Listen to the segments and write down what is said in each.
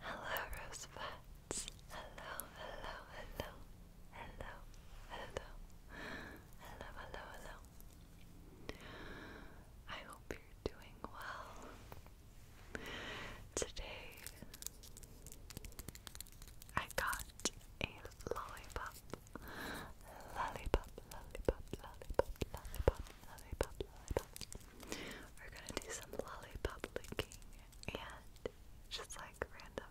Hello, Rosebud. Hello, hello, hello. Hello, hello, hello, hello, hello. I hope you're doing well. Today I got a lollipop. Lollipop, lollipop, lollipop, lollipop, lollipop, lollipop. We're gonna do some lollipop licking and just like random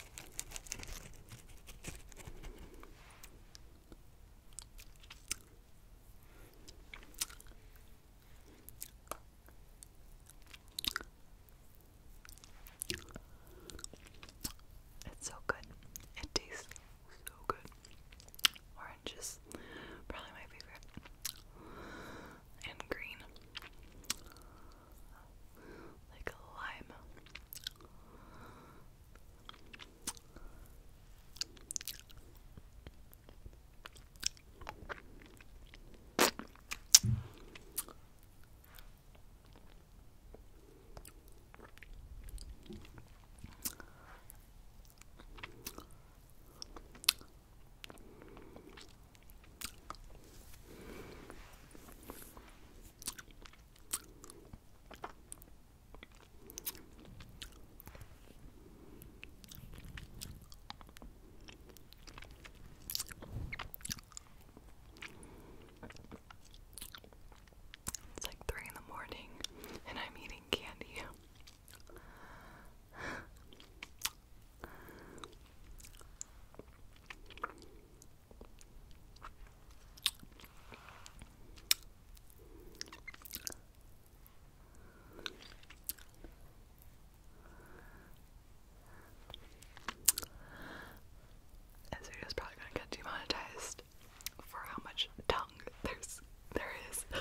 It's so good. It tastes so good. Oranges, probably my favorite. And green like a lime. It's like three in the morning, and I'm eating candy. This video is probably going to get demonetized for how much tongue there's there is.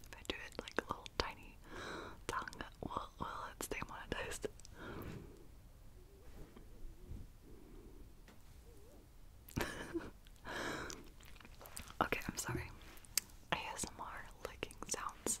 If I do it like a little tiny tongue, will, will it stay monetized? okay, I'm sorry. ASMR licking sounds.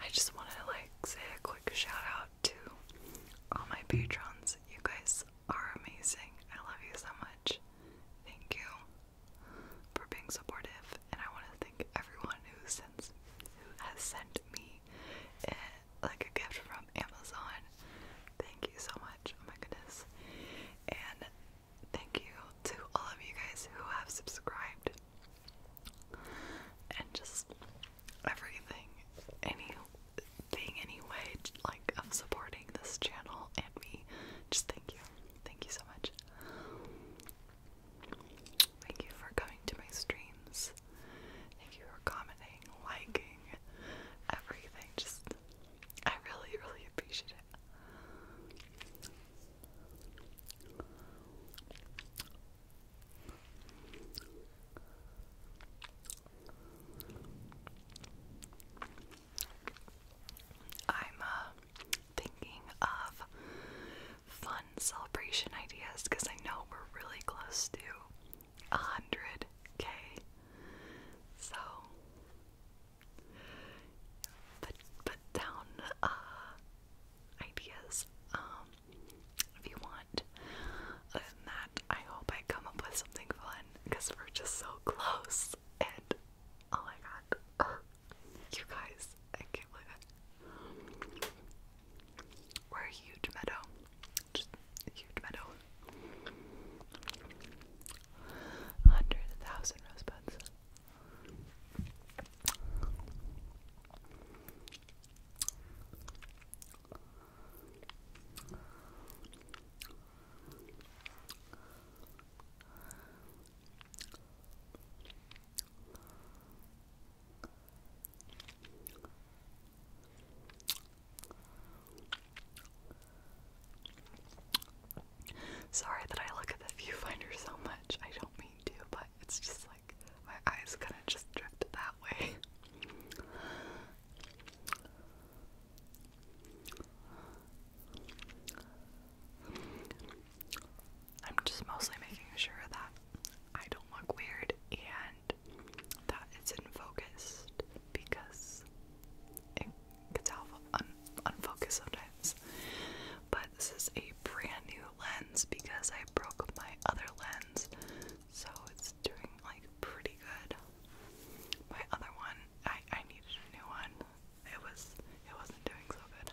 I just want to like say a quick shout out to all my patrons. You guys are amazing. I love you so much. Thank you for being supportive, and I want to thank everyone who sends, who has sent me a, eh, like a gift from Amazon. Thank you so much. Oh my goodness. And thank you to all of you guys who have subscribed and just everything, anything, any way, like of supporting this channel and me. Just thank you, thank you so much. Thank you for coming to my streams. Thank you for commenting, liking, everything. Just, I really, really appreciate it. I'm uh, thinking of fun celebration ideas because I know we're really close to a hundred K. So put put down uh, ideas um, if you want. that, I hope I come up with something fun because we're just so close. And oh my god, you guys, We're a huge meadow, just a huge meadow. Hundred thousand rosebuds. Sorry that I look at the viewfinder so much. I don't mean to, but it's just my eyes kind of just drifted that way. I'm just mostly making sure that I don't look weird and that it's in focus because it gets out of un sometimes. But this is a brand new lens because I broke my other lens, so it's doing like pretty good. My other one, I I needed a new one. It was it wasn't doing so good.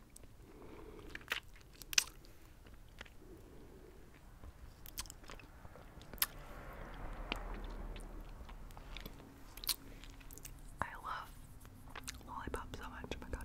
I love lollipop so much, oh my god.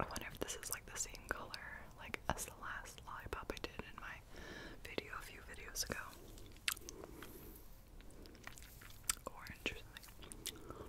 I wonder if this is like the same color like as the last lollipop I did in my video a few videos ago. Orange or something.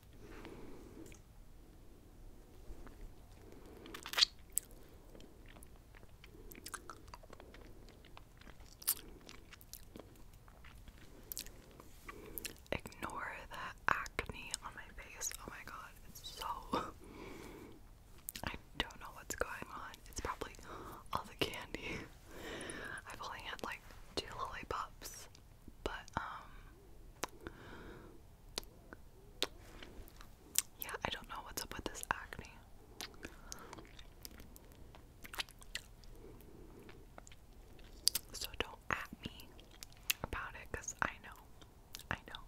Ignore the acne on my face. Oh my god, it's so. I don't know what's going on. It's probably all the candy. I've only had like two lollipops, but um, yeah, I don't know what's up with this acne. So don't at me about it because I know. I know.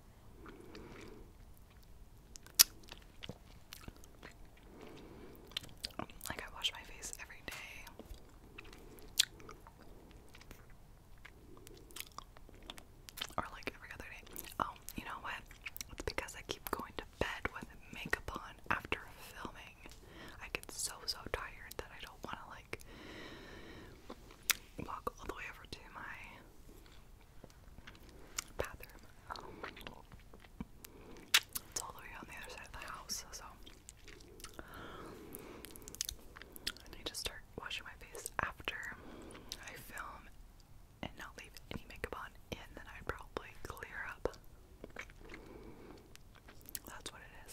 Like, I wash my face every day. Or like every other day. Oh, you know what? It's because I keep going to bed with makeup on after filming. I get so so tired that I don't want to like walk all the way over to my bathroom. Um, it's all the way on the other side of the house, so I just to start washing my face after I film and not leave any makeup on in, then I'd probably clear up. That's what it is.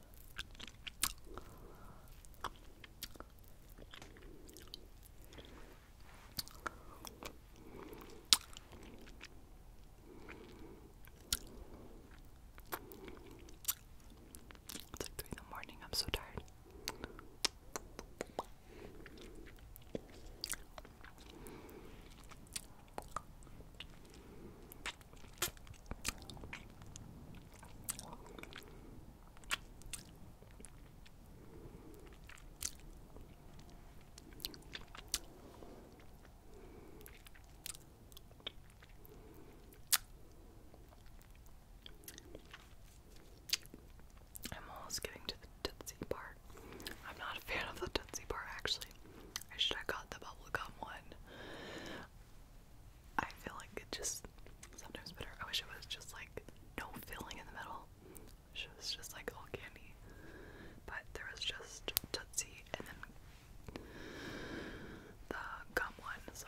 It's like three in the morning, I'm so tired. I'm almost getting to the Tootsie part. I'm not a fan of the Tootsie part actually. I should have got the bubble gum one. I feel like it just sometimes better. I wish it was just like no filling in the middle. it was just like all candy. But there was just Tootsie and then the gum one, so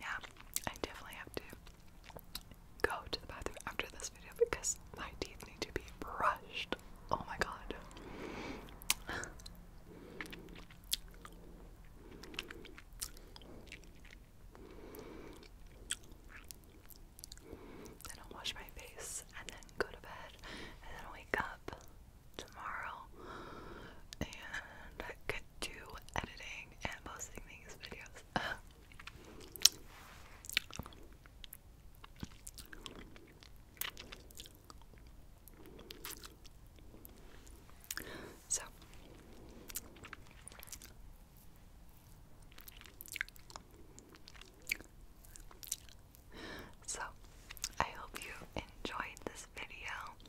Yeah, I definitely have to go to the bathroom after this video because my teeth need to be brushed. Oh my god. Then I'll wash my face and then go to bed and then wake up tomorrow and I could do editing and posting these videos. So so, I hope you enjoyed this video.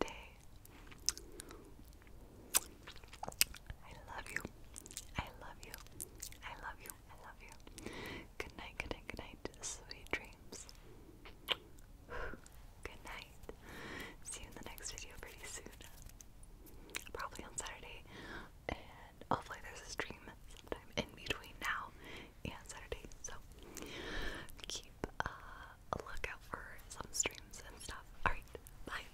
day. I love you. I love you. I love you. I love you. Good night, good night, good night. Sweet dreams. Good night. See you in the next video pretty soon. Probably on Saturday. And hopefully there's a stream sometime in between now and Saturday. So keep uh a lookout for some streams and stuff. Alright, bye.